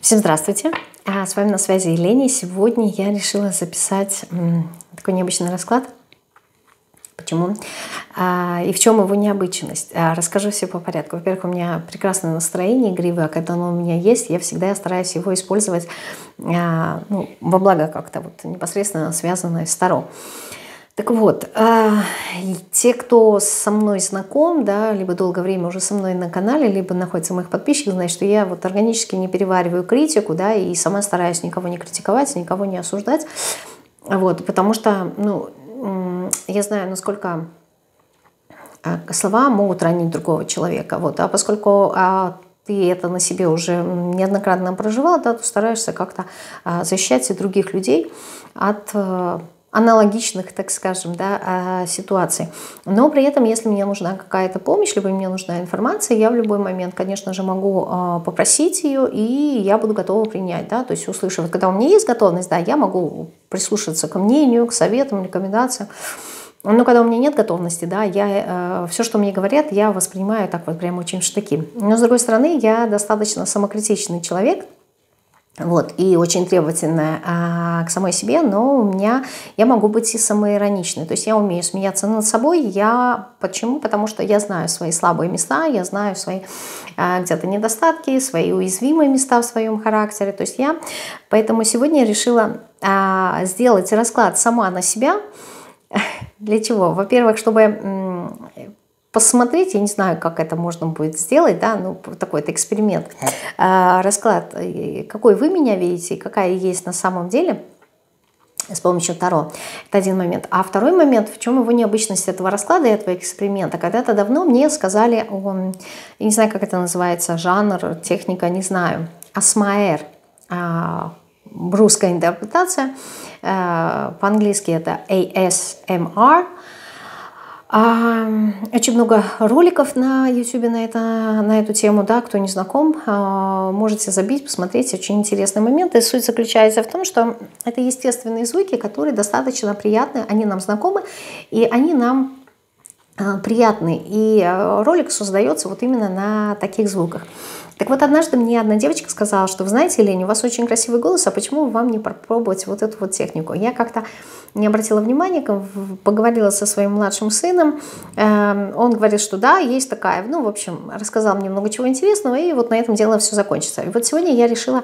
Всем здравствуйте! А, с вами на связи Елена. Сегодня я решила записать такой необычный расклад. Почему? А, и в чем его необычность? А, расскажу все по порядку. Во-первых, у меня прекрасное настроение игривое, когда оно у меня есть, я всегда стараюсь его использовать ну, во благо как-то вот непосредственно связанное с Таро. Так вот, те, кто со мной знаком, да, либо долгое время уже со мной на канале, либо находится моих подписчиков, значит, что я вот органически не перевариваю критику, да, и сама стараюсь никого не критиковать, никого не осуждать. Вот, потому что, ну, я знаю, насколько а, слова могут ранить другого человека. Вот. А поскольку а, ты это на себе уже неоднократно проживал, да, то стараешься как-то а, защищать и других людей от а, аналогичных, так скажем, да, а, ситуаций. Но при этом, если мне нужна какая-то помощь, либо мне нужна информация, я в любой момент, конечно же, могу а, попросить ее, и я буду готова принять, да, то есть услышав. Когда у меня есть готовность, да, я могу прислушаться к мнению, к советам, рекомендациям. Но когда у меня нет готовности, да, я, э, все, что мне говорят, я воспринимаю так вот прям очень штыки. Но, с другой стороны, я достаточно самокритичный человек – вот, и очень требовательная а, к самой себе, но у меня, я могу быть и самоироничной, то есть я умею смеяться над собой, я, почему? Потому что я знаю свои слабые места, я знаю свои а, где-то недостатки, свои уязвимые места в своем характере, то есть я, поэтому сегодня я решила а, сделать расклад сама на себя, для чего? Во-первых, чтобы посмотреть, я не знаю, как это можно будет сделать, да, ну, такой это эксперимент, а, расклад, э, какой вы меня видите, какая есть на самом деле, с помощью Таро. Это один момент. А второй момент, в чем его необычность этого расклада и этого эксперимента. Когда-то давно мне сказали, о, я не знаю, как это называется, жанр, техника, не знаю, асмаэр, а, русская интерпретация, э, по-английски это AS «А ASMR. А, очень много роликов на YouTube на, это, на эту тему, да, кто не знаком, а, можете забить, посмотреть, очень интересный момент. И суть заключается в том, что это естественные звуки, которые достаточно приятны, они нам знакомы, и они нам а, приятны. И ролик создается вот именно на таких звуках. Так вот, однажды мне одна девочка сказала, что, вы знаете, Лень, у вас очень красивый голос, а почему вам не, попробовать вот эту вот технику. Я как-то не обратила внимания, поговорила со своим младшим сыном, эм, он говорит, что да, есть такая, ну, в общем, рассказал мне много чего интересного, и вот на этом дело все закончится. И вот сегодня я решила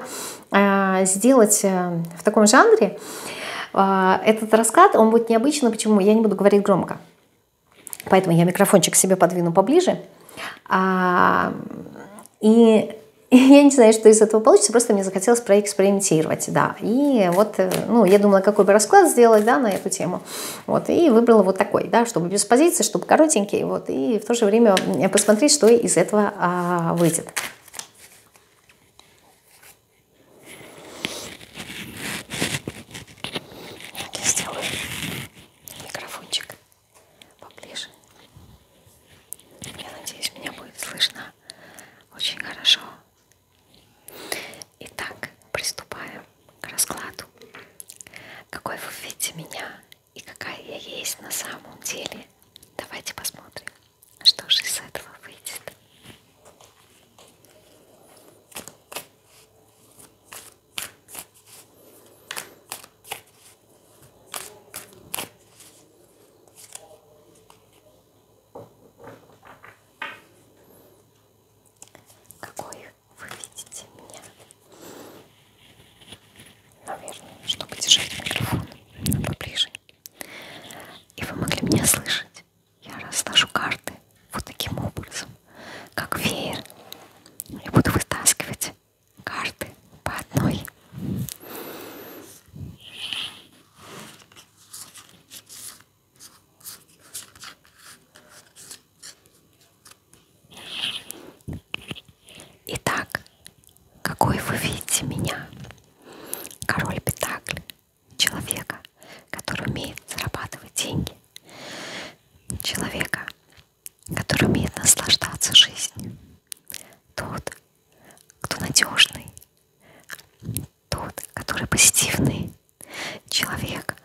э, сделать э, в таком жанре, э, этот раскат, он будет необычно, почему? Я не буду говорить громко. Поэтому я микрофончик себе подвину поближе. А, и я не знаю, что из этого получится, просто мне захотелось проэкспериментировать, да. И вот, э, ну, я думала, какой бы расклад сделать, да, на эту тему. Вот, и выбрала вот такой, да, чтобы без позиции, чтобы коротенький, вот, и в то же время посмотреть, что из этого а, выйдет. Я сделаю микрофончик поближе. Я надеюсь, меня будет слышно очень хорошо. Итак, приступаем к раскладу. Какой вы видите меня и какая я есть на самом деле. Давайте посмотрим, что же из этого выйдет. Какой вы видите меня? Наверное, чтобы держать микрофон поближе. И вы могли меня слышать. Я разложу карты вот таким образом, как веер. Я буду вытаскивать карты по одной. Итак, какой вы видите меня? Король Петакль, человека, который умеет зарабатывать деньги, человека, который умеет наслаждаться жизнью. Тот, кто надежный, тот, который позитивный, человек,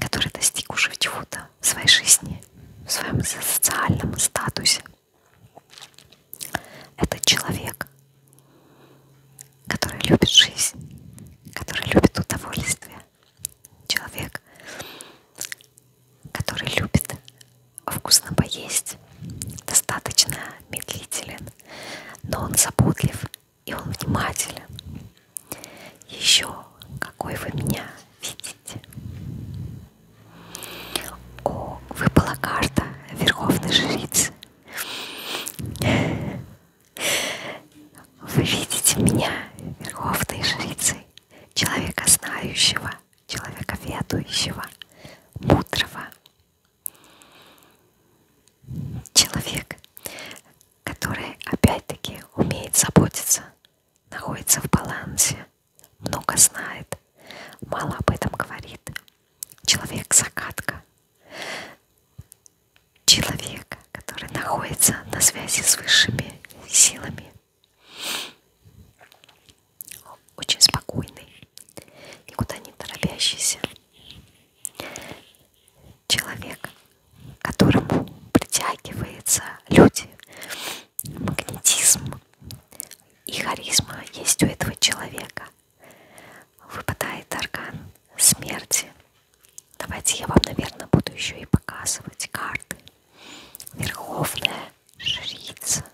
который достиг уже чего-то в своей жизни, в своем социальном статусе. Это человек, который любит жизнь, который любит удовольствие. Человек, который любит вкусно поесть, достаточно медлителен, но он заботлив и он внимателен. Еще какой вы меня видите? О, выпала карта Верховной Жрицы. Вы видите меня, Верховной Жрицей, человека знающего человека ведущего, мудрого. Человек, который опять-таки умеет заботиться, находится в балансе, много знает, мало об этом говорит. Человек-загадка. Человек, который находится на связи с высшими силами, очень спокойный, никуда не торопящийся человек, к которому притягиваются люди, магнетизм и харизма есть у этого человека. Выпадает орган смерти. Давайте я вам, наверное, буду еще и показывать карты. Верховная жрица.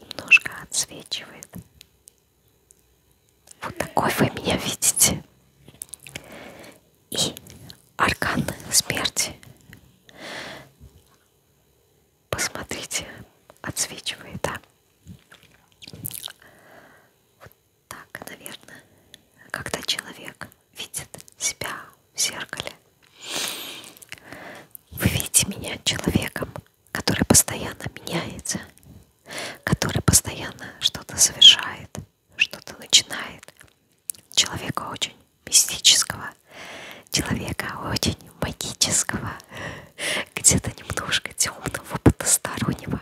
Немножко отсвечивает. Вот такой вы меня видите. И аркан смерти. Посмотрите, отсвечивает, да? Вот так, наверное, когда человек видит себя в зеркале. Вы видите меня человеком, который постоянно меняется, который постоянно что-то совершает, что-то начинает. Человека очень мистического, человека очень магического, где-то немножко темного, потустороннего,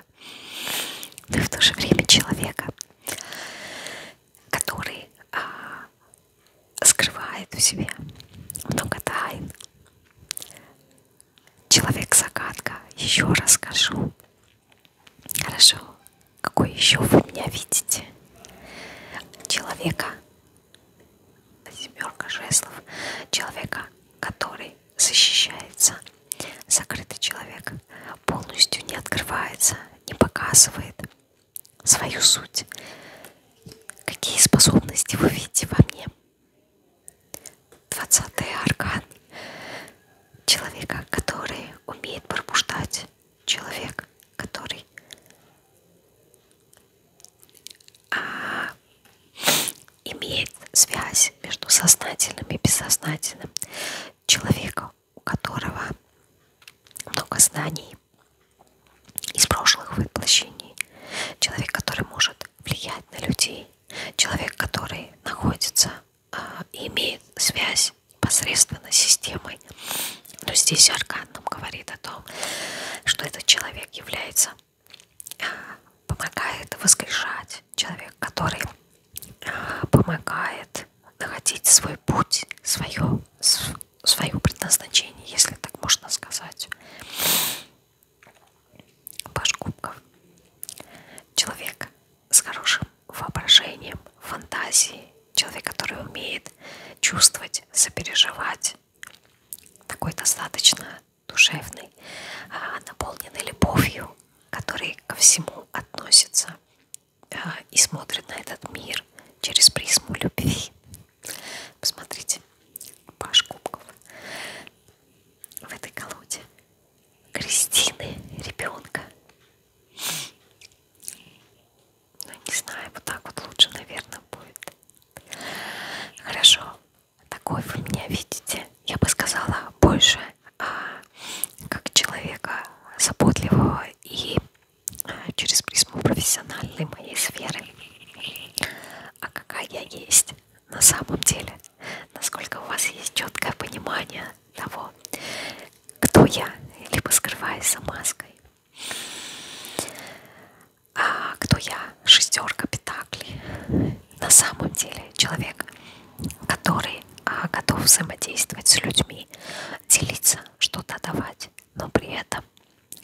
но и в то же время человека, который а, скрывает в себе много тайн. Человек-загадка, еще расскажу. Хорошо, какой еще вы меня видите? Человека, семерка жезлов, человека, который защищается, закрытый человек, полностью не открывается, не показывает свою суть. Какие способности вы видите во мне? 20-й аркан человека, который умеет пробуждать, человек, который а, имеет связь между сознательным и бессознательным, человека, у которого много знаний из прошлых воплощений, человек, который может влиять на людей, человек, который находится а, и имеет связь непосредственно с системой. Но здесь аркан нам говорит о том, что этот человек является, а, помогает воскрешать есть человек, который а, помогает находить свой путь, свое, свое предназначение, если так можно сказать. Паш Кубков. Человек с хорошим воображением, фантазией, человек, который умеет чувствовать, сопереживать, такой достаточно душевный, а, наполненный любовью, который ко всему относится э, и смотрит на этот мир через призму любви. Посмотрите, Паш Кубков в этой колоде. Кристины, ребенка. Ну, не знаю, вот так вот лучше, наверное, будет. Хорошо, такой вы меня видите я бы сказала, больше а, как человека заботливого и а, через призму профессиональной моей сферы. А какая я есть на самом деле? Насколько у вас есть четкое понимание того, кто я, либо скрываясь за маской? А кто я? Шестерка петаклей на самом деле человек, который а, готов взаимодействовать с людьми, делиться, что-то давать, но при этом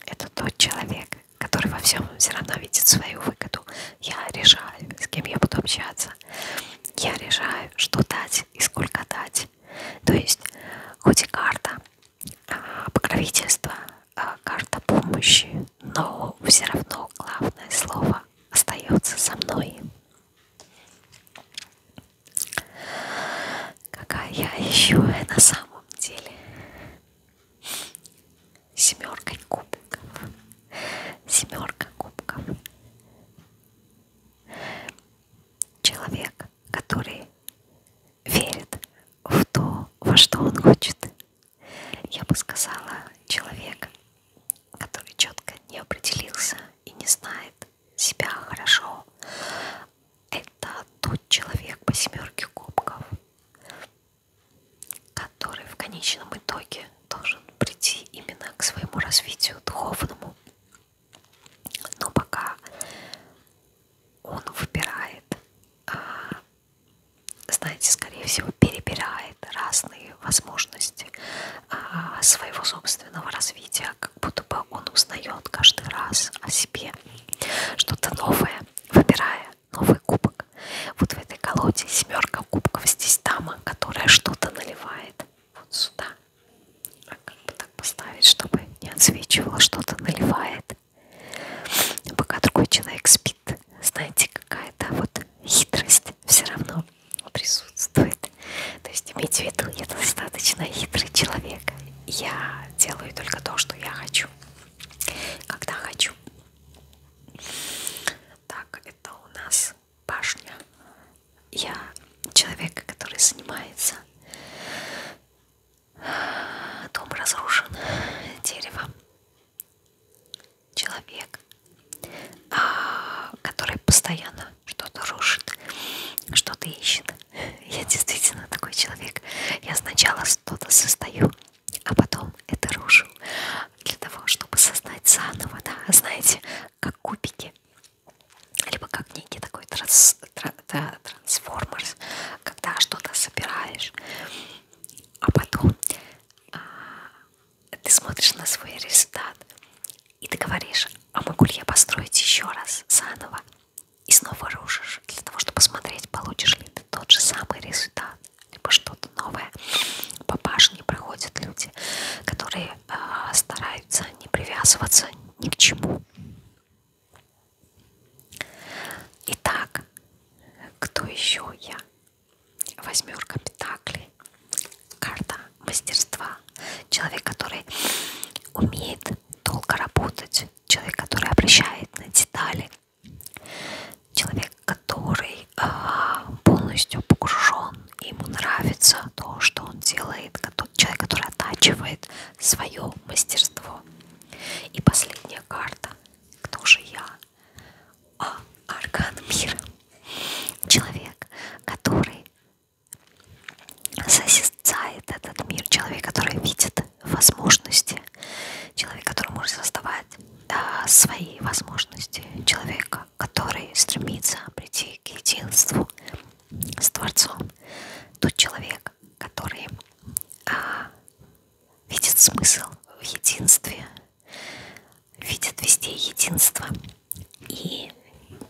это тот человек, который во всем все равно видит свою выгоду. Я решаю, с кем я буду общаться. Я решаю, что дать и сколько дать. То есть, хоть и карта а, покровительства, а, карта помощи, но все равно главное слово остается со мной. Какая я еще на самом деле семерка кубиков. Семерка кубков. Человек, который верит в то, во что он хочет. Я бы сказала, человек, который четко не определился и не знает себя хорошо, это тот человек по семерке кубков, который в конечном итоге должен прийти именно к своему развитию духовному. Но пока он выбирает, а, знаете, скорее всего, перебирает предлагает разные возможности а, своего собственного развития, как будто бы он узнает каждый раз о себе что-то новое, выбирая новый кубок. Вот в этой колоде семерка кубков, здесь дама, которая что-то наливает вот сюда. А как бы так поставить, чтобы не отсвечивало, что-то наливает. Пока другой человек спит, знаете, какая-то вот хитрость все равно присутствует. То есть имейте в виду, я достаточно хитрый человек. Я делаю только то, что я хочу, когда хочу. Так, это у нас башня. Я человек, который занимается. Э, дом разрушен деревом человек, а, который постоянно что-то рушит, что-то ищет. Я действительно такой человек. Я сначала что-то состою, а потом это рушу. Для того, чтобы создать заново, да, знаете, как кубики. Либо как некий такой транс, тра, да, трансформер, когда что-то собираешь, а потом а, ты смотришь на свой результат, и ты говоришь, а могу ли я построить еще раз, заново, и снова рушишь, для того, чтобы посмотреть, получишь ли ты тот же самый результат, либо что-то новое. По башне проходят люди, которые э, стараются не привязываться ни к чему. Итак, кто еще я? Восьмерка пентаклей. Карта мастерства. Человек, который умеет долго работать. Человек, который обращает на детали. Человек, который а, полностью погружен. Ему нравится то, что он делает. Человек, который оттачивает свое мастерство. И последняя карта. Кто же я? а орган мира. Человек, который созерцает этот мир, человек, который видит возможности, человек, который может создавать да, свои возможности, человека, который стремится прийти к единству с Творцом, тот человек, который а, видит смысл в единстве видят везде единство. И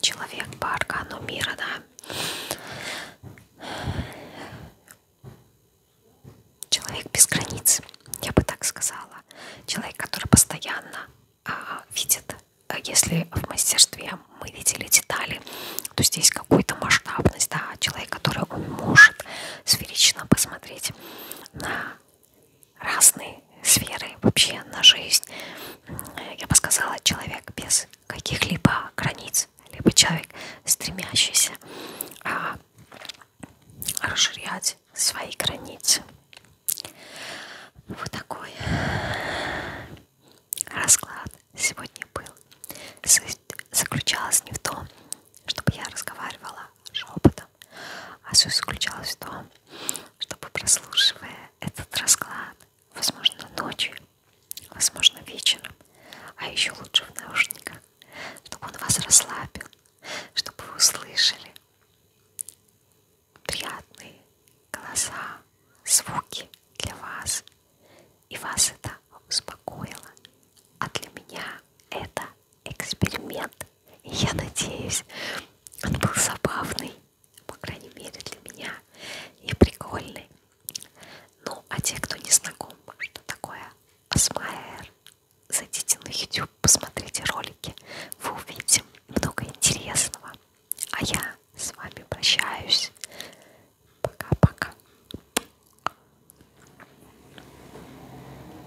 человек по аркану мира, да, человек без границ, я бы так сказала. Человек, который постоянно а, видит, а, если в мастерстве мы видели детали, то здесь какую-то масштабность, да, человек, который он может сферично посмотреть на разные сферы вообще на жизнь. Я бы сказала, человек без каких-либо границ, либо человек, стремящийся а, расширять свои границы. Вот такой расклад сегодня был. Суть заключалась не в том, чтобы я разговаривала шепотом, а суть заключалась в том, чтобы прослушивая этот расклад, возможно ночью, возможно вечером, а еще лучше в наушниках, чтобы он вас расслабил, чтобы вы услышали приятные голоса, звуки для вас, и вас это успокоило. А для меня это эксперимент. И я надеюсь, он был забавный, по крайней мере для меня, и прикольный. Ну, а те, кто не знаком, что такое Асмаэр, зайдите на YouTube, посмотрите ролики, вы увидите много интересного. А я с вами прощаюсь. Пока-пока.